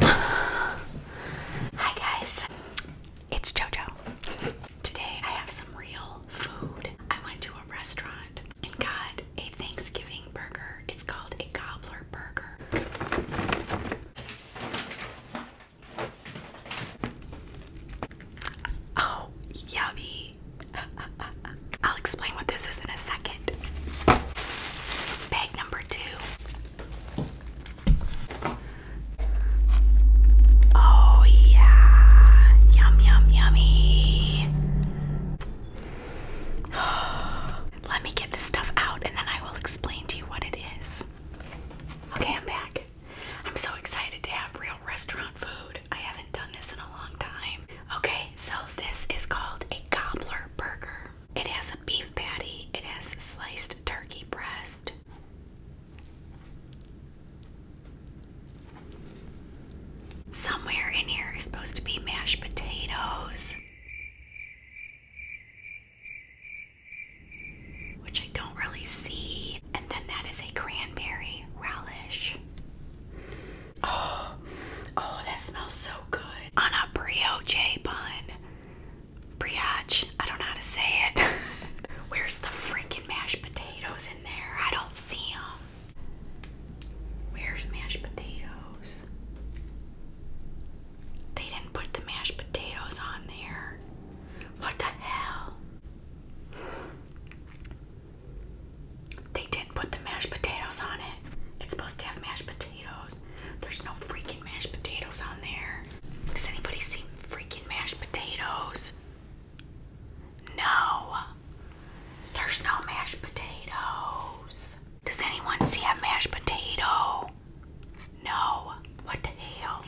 Hi guys, it's JoJo. Today I have some real food. I went to a restaurant and got a Thanksgiving burger. It's called a gobbler burger. Oh, yummy. I'll explain what this is in a second. Bag number two. Oh, yeah. Yum, yum, yummy. Let me get this stuff out and then I will explain to you what it is. Okay, I'm back. I'm so excited to have real restaurant food. I haven't done this in a long time. Okay, so this is called a gobbler burger. It has a beef patty, it has sliced turkey breast. Somewhere in here is supposed to be mashed potatoes, which I don't really see. And then that is a cranberry relish. Oh, oh, that smells so good. On a brioche bun brioche. I don't know how to say it. Where's the freaking mashed potatoes in there? I don't see them. Where's mashed potatoes? They didn't put the mashed potatoes on there. What the hell? They didn't put the mashed potatoes on it. It's supposed to have mashed potatoes. There's no freaking mashed potatoes on there. Does anybody see freaking mashed potatoes? No. There's no mashed potatoes. Does anyone see a mashed potato? No. What the hell?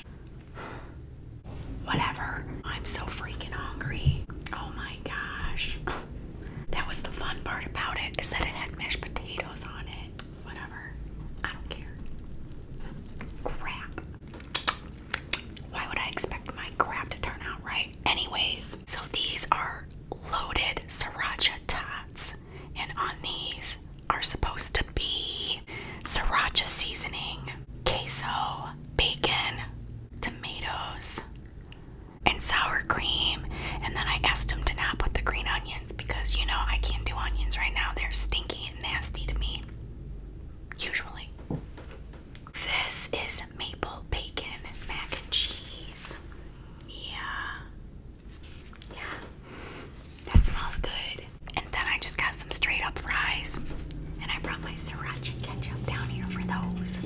Whatever. I'm so freaking hungry. Oh my gosh. that was the fun part about it is that it had mashed potatoes on it. Whatever. I don't care. Crap. Why would I expect my crap to turn out right? Anyways, so these are loaded sriracha tots, and on these are supposed to be sriracha seasoning, queso, bacon, tomatoes, and sour cream. And then I asked him to not put the green onion because you know I can't do onions right now. They're stinky and nasty to me. Usually. This is maple bacon mac and cheese. Yeah. Yeah. That smells good. And then I just got some straight up fries. And I brought my sriracha ketchup down here for those.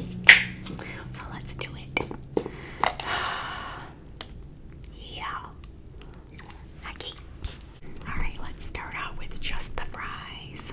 So let's do it. Yeah. Okay. Alright, let's start out with just the fries.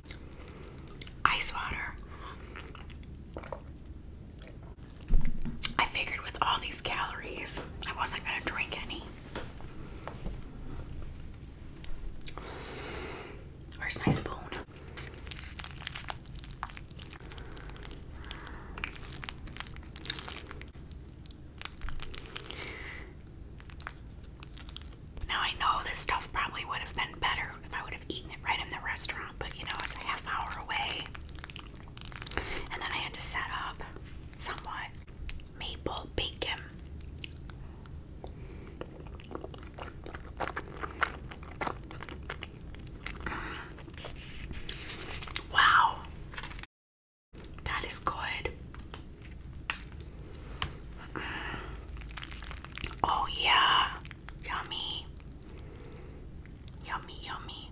ice water. I figured with all these calories, I wasn't going to drink any. Where's my spoon? Now I know this stuff probably would have been better if I would have eaten it right in the restaurant, but you know, it's a half hour away. And then I had to set up somewhat maple bacon. Mm. Wow. That is good. Oh, yeah, yummy, yummy, yummy.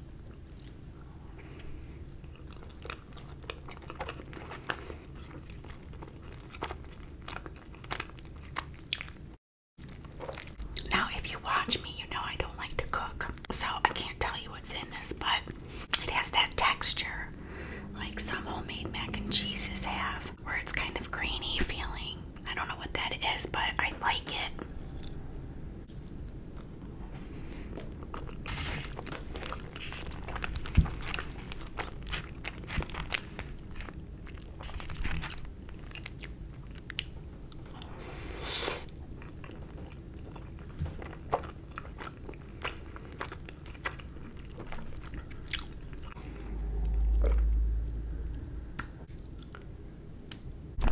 Now, if you watch me, you know I don't like to cook, so I can't tell you what's in this, but it has that texture like some homemade mac and cheeses have where it's kind of grainy feeling. I don't know what that is, but I like it.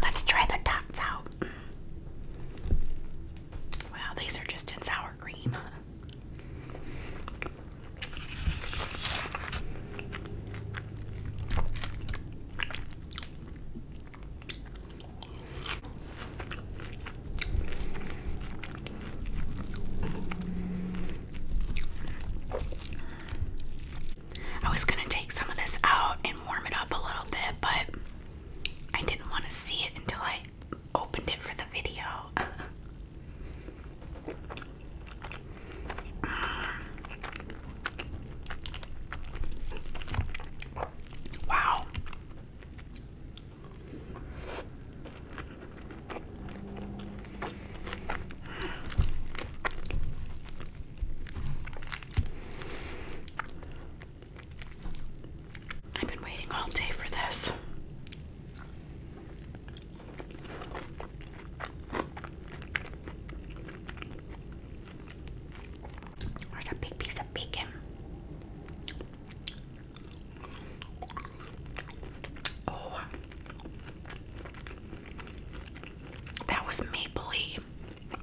Let's try the dots out. Wow, these are just in sour cream. I was going to take some of this out and warm it up a little bit, but I didn't want to see it until I opened it for the video. wow. I've been waiting all day for this. Where's a big piece of bacon? Oh, that was mapley.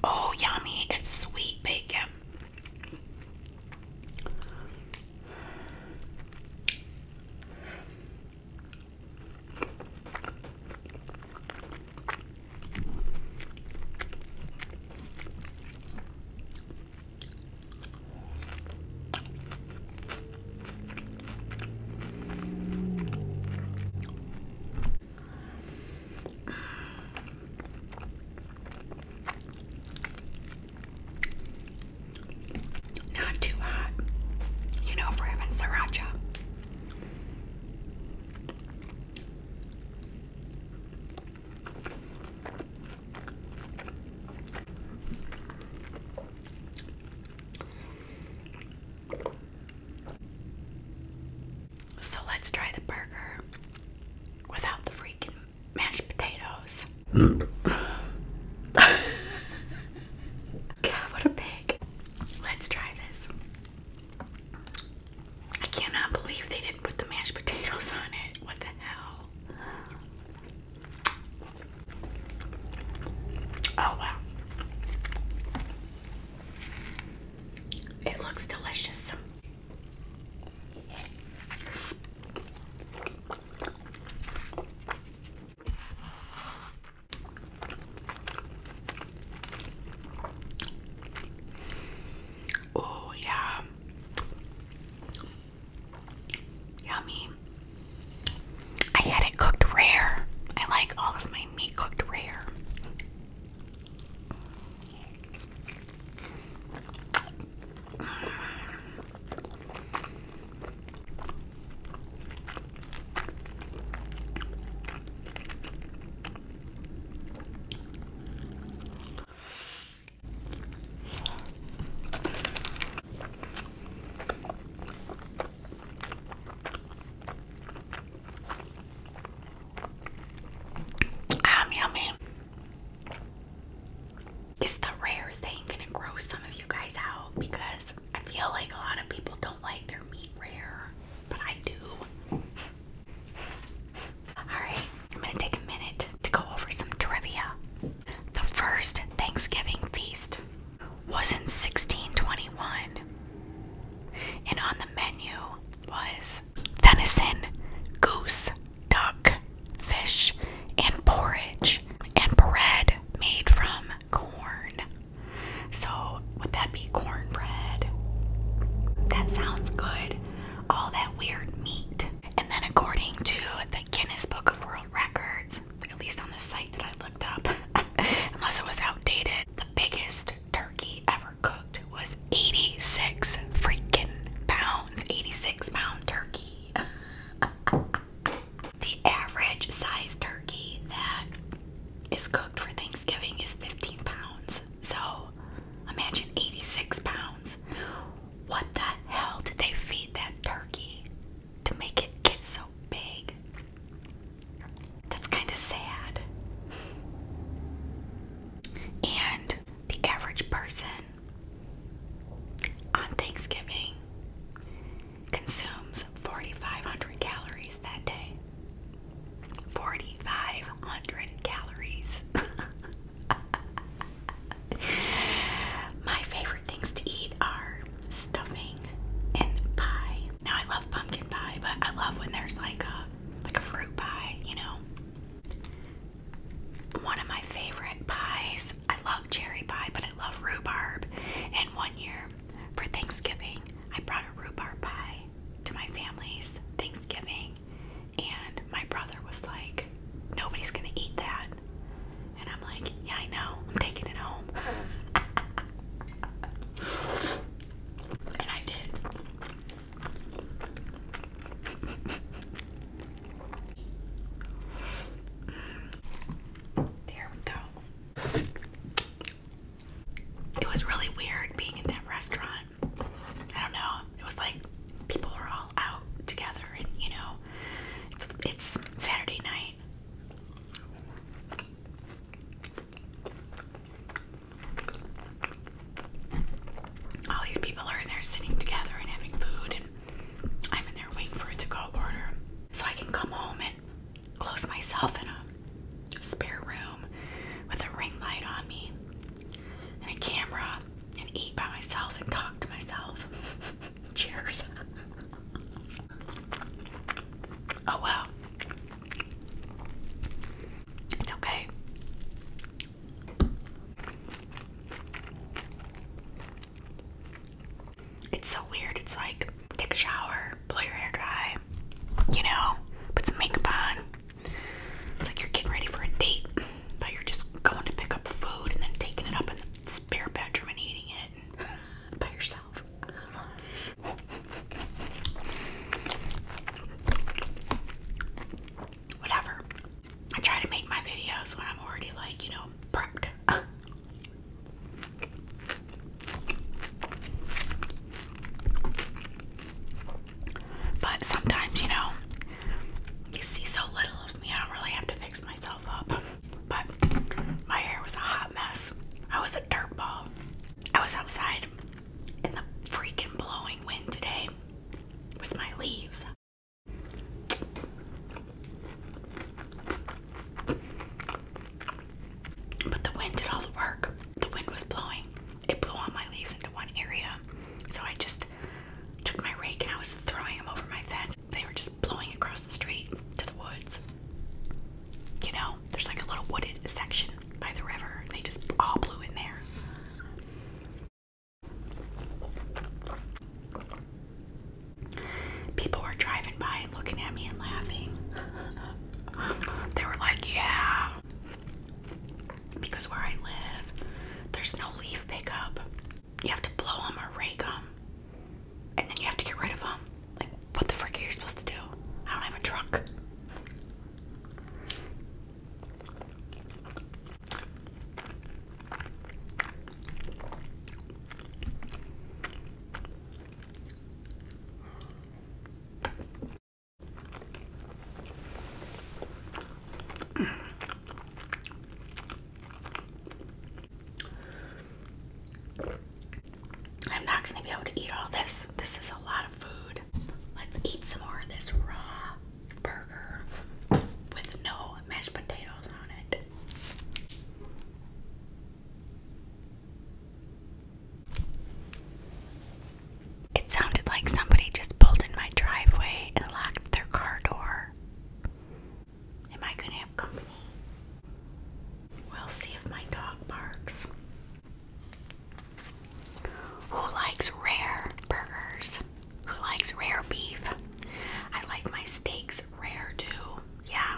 Oh, yummy! It's sweet bacon. Not too hot, you know, for having sriracha. So let's try the burger without the freaking mashed potatoes. God, what a pig. Let's try this. I cannot believe they didn't put the mashed potatoes on it. What the hell? Oh wow. It looks delicious. Oh, yeah. Yummy. I had it cooked rare. I like all of my meat cooked rare yummy. Ah, it's the rare thing gonna grow some of you guys out because I feel like a lot of people don't like their meat rare, but I do. Alright, I'm gonna take a minute to go over some trivia. The first Thanksgiving feast was in 1621, and on the menu was venison, goose, duck, fish, and porridge, and bread made from corn. So, would that be cornbread? That sounds good. All that weird meat. And then, according to the Guinness Book of World Records, at least on the site that I looked up, unless it was outdated, the biggest turkey ever cooked was 86 freaking pounds. 86 pound turkey. the average size turkey that is cooked for Thanksgiving is 15 pounds. So imagine 86 pounds. What the hell did they feed that turkey? to make it get so big. That's kind of sad. And the average person on Thanksgiving consumes 4,500 calories that day. 4,500 calories. My favorite things to eat are stuffing and pie. Now I love pumpkin pie, but I love when there's like a like a fruit pie, you know. One of my favorite pies, I love cherry pie, but I love rhubarb. And one year for Thanksgiving, I brought a rhubarb pie to my family's Thanksgiving, and my brother was like, Nobody's gonna eat that. And I'm like, yeah, I know. I'm taking it home. and I did. there we go. It was really weird being in that restaurant. I don't know. It was like people were all out together and you know it's Saturday night. All these people are in there sitting together and having food and I'm in there waiting for it to go order. So I can come home and close myself in a spare room with a ring light on me and a camera and eat by myself and talk to myself. Cheers. oh wow. It's okay. It's so weird. It's like take a shower, blow your hair dry, you know, put some makeup on. It's like you're getting ready for a date, but you're just going to pick up food and then taking it up in the spare bedroom and eating by yourself. Whatever. I try to make my videos when I'm already like, you know, prepped. but sometimes, you know, you see so little of me, I don't really have to fix myself up. But my hair was a hot mess. I was a dirt ball. I was outside in the freaking blowing wind today with my leaves. But the wind did all the work. The wind was blowing. It blew all my leaves into one area. So I just took my rake and I was throwing them over my fence they were just blowing across the street to the woods. You know, there's like a little wooded section by the river. They just all blew in there. People were driving by and looking at me and laughing. They were like, yeah. Because where I live, there's no leaf pickup. You have to blow them or rake them and then you have to get rid of them. Like, what the frick are you supposed to do? I don't have a truck. I'm not going to be able to eat all this. This is a lot of food. Let's eat some more of this raw burger with no mashed potatoes on it. It sounded like somebody just pulled in my driveway and locked their car door. Am I going to have company? We'll see if my dog barks. Who likes rare burgers? Who likes rare beef? I like my steaks rare too. Yeah.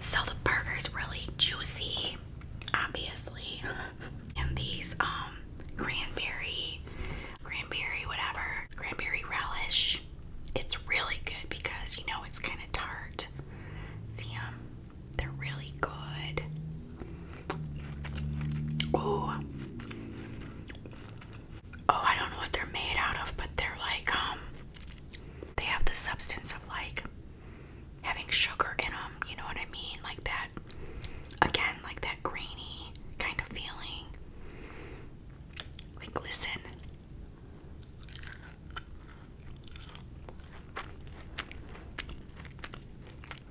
So the burger is really juicy, obviously. and these um cranberry, cranberry, whatever, cranberry relish. It's really good because you know it's kind of tart. See them? Um, they're really good. Oh, oh, I don't know what they're made out of, but they're like um, they have the substance of like having sugar in them. You know what I mean? Like that. Again, like that grainy kind of feeling. Like, listen.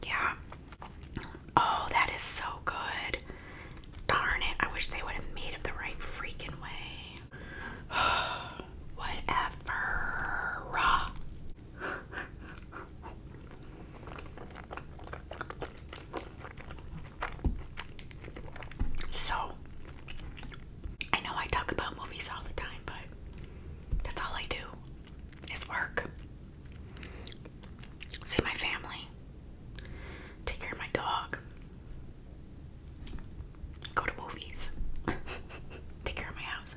Yeah. Oh, that is so good. Darn it. I wish they would have made it the right freaking way. Whatever. So, I know I talk about movies all the time, but that's all I do is work. See my family, take care of my dog, go to movies, take care of my house.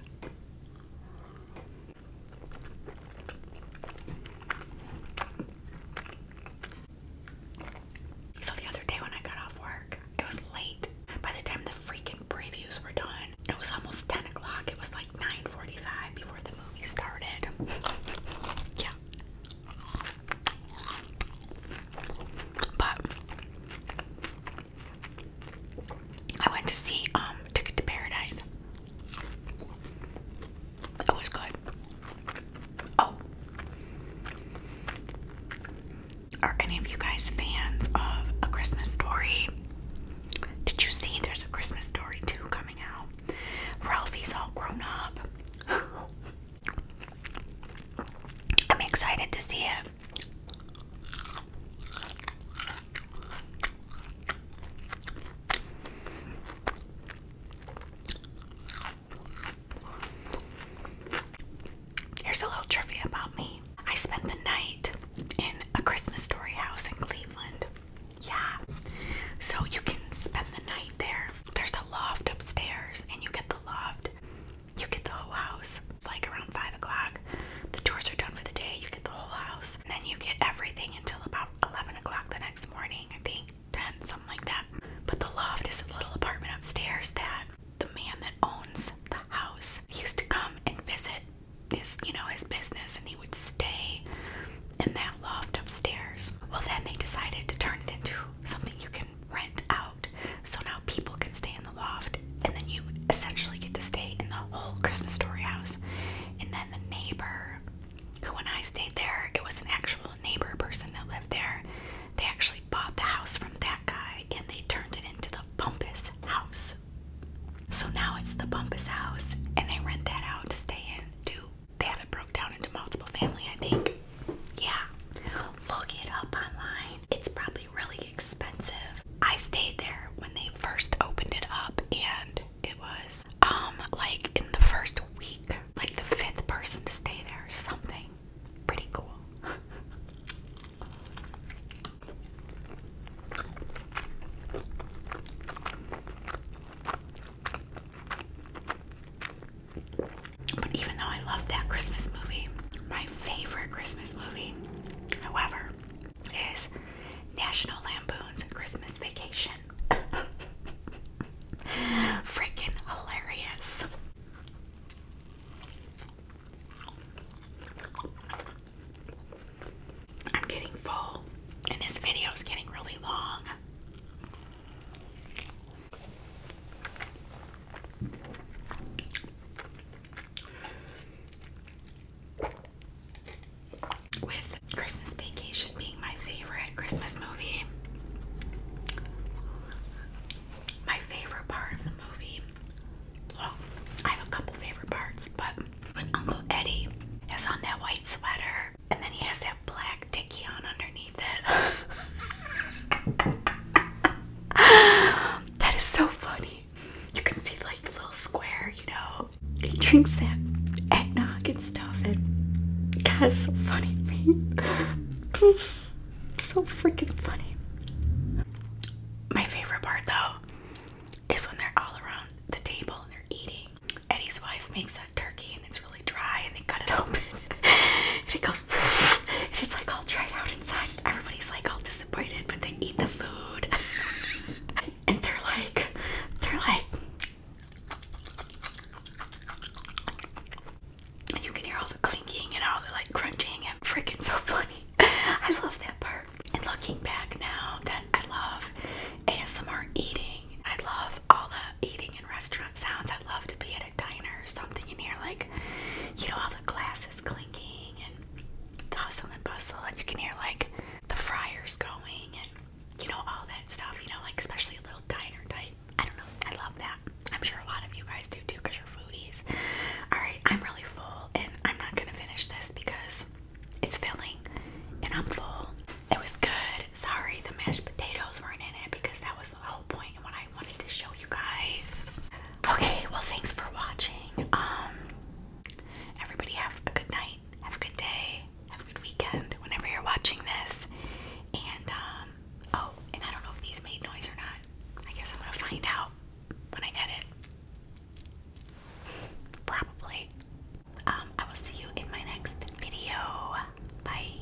So the other day when I got off work, it was late. By the time the freaking previews were done, it was almost 10 o'clock. It was like 9.45 before the movie started. yeah. But I went to see um Ticket to Paradise. It was good. Oh. Are any of you guys fans of A Christmas Story? Did you see there's a Christmas Story too coming out? Ralphie's all grown up. I'm excited to see it. Here's a little trivia about me. I spent the night in a Christmas story house in Cleveland. Yeah. So you can spend the night there. There's a loft upstairs, and you get the loft. You get the whole house. It's like around 5 o'clock. The tours are done for the day. You get the whole house. And then you get everything until about 11 o'clock the next morning, I think ten, something like that. But the loft is a little apartment upstairs that the man that owns the house used to come and visit his, you know, his business, and he would stay in that loft upstairs. Well, then they decided to turn it into something you can rent out, so now people can stay in the loft, and then you essentially get to stay in the whole Christmas story house. And then the neighbor who, when I stayed there, it was an actual neighbor person that lived there. They actually bought the house from that guy and they turned it into the Bumpus house. So now it's the Bumpus house and they rent that out to stay in too. They have it broke down into multiple family, I think. Yeah. Look it up online. It's probably really expensive. I stayed there when they first opened it up and it was um, like in the first week like the fifth person to stay there or something pretty cool But even though I love that Christmas movie, my favorite Christmas movie, however, is National Lampoon's Christmas Vacation. Freaking hilarious. I'm getting full, and this video is getting really long with Christmas Vacation being my favorite Christmas movie, my favorite part of the movie. I have a couple favorite parts, but when Uncle Eddie has on that white sweater and then he has that black dickie on underneath it. that is so funny. You can see like the little square, you know, he drinks that eggnog and stuff, and God, so funny to me. so freaking funny. My favorite part, though, is when they're all around the table and they're eating. Eddie's wife makes that turkey, and it's really dry, and they cut it open, and it goes, and it's like all dried out inside, everybody's like all disappointed, but they eat the food. and they're like, they're like, you can hear all the clinking and all the like crunching and freaking so funny. I love that part. And looking back now that I love ASMR eating. I love all the eating and restaurant sounds. I love to be at a diner or something and hear like, you know, all the glasses clinking and the hustle and bustle and you can hear like the fryers going and you know, all that stuff, you know, like especially a little diner type. I don't know. I love that. I'm sure a lot of you guys do too because you're foodies. Alright, I'm really full and I'm not going to finish this because it's filling and I'm full. It was good. Sorry the mashed potatoes weren't in it because that was the whole point and what I wanted to show you guys. Okay, well thanks for watching. Um everybody have a good night. Have a good day have a good weekend whenever you're watching this. And, um, oh, and I don't know if these made noise or not. I guess I'm gonna find out when I edit. Probably. Um, I will see you in my next video. Bye.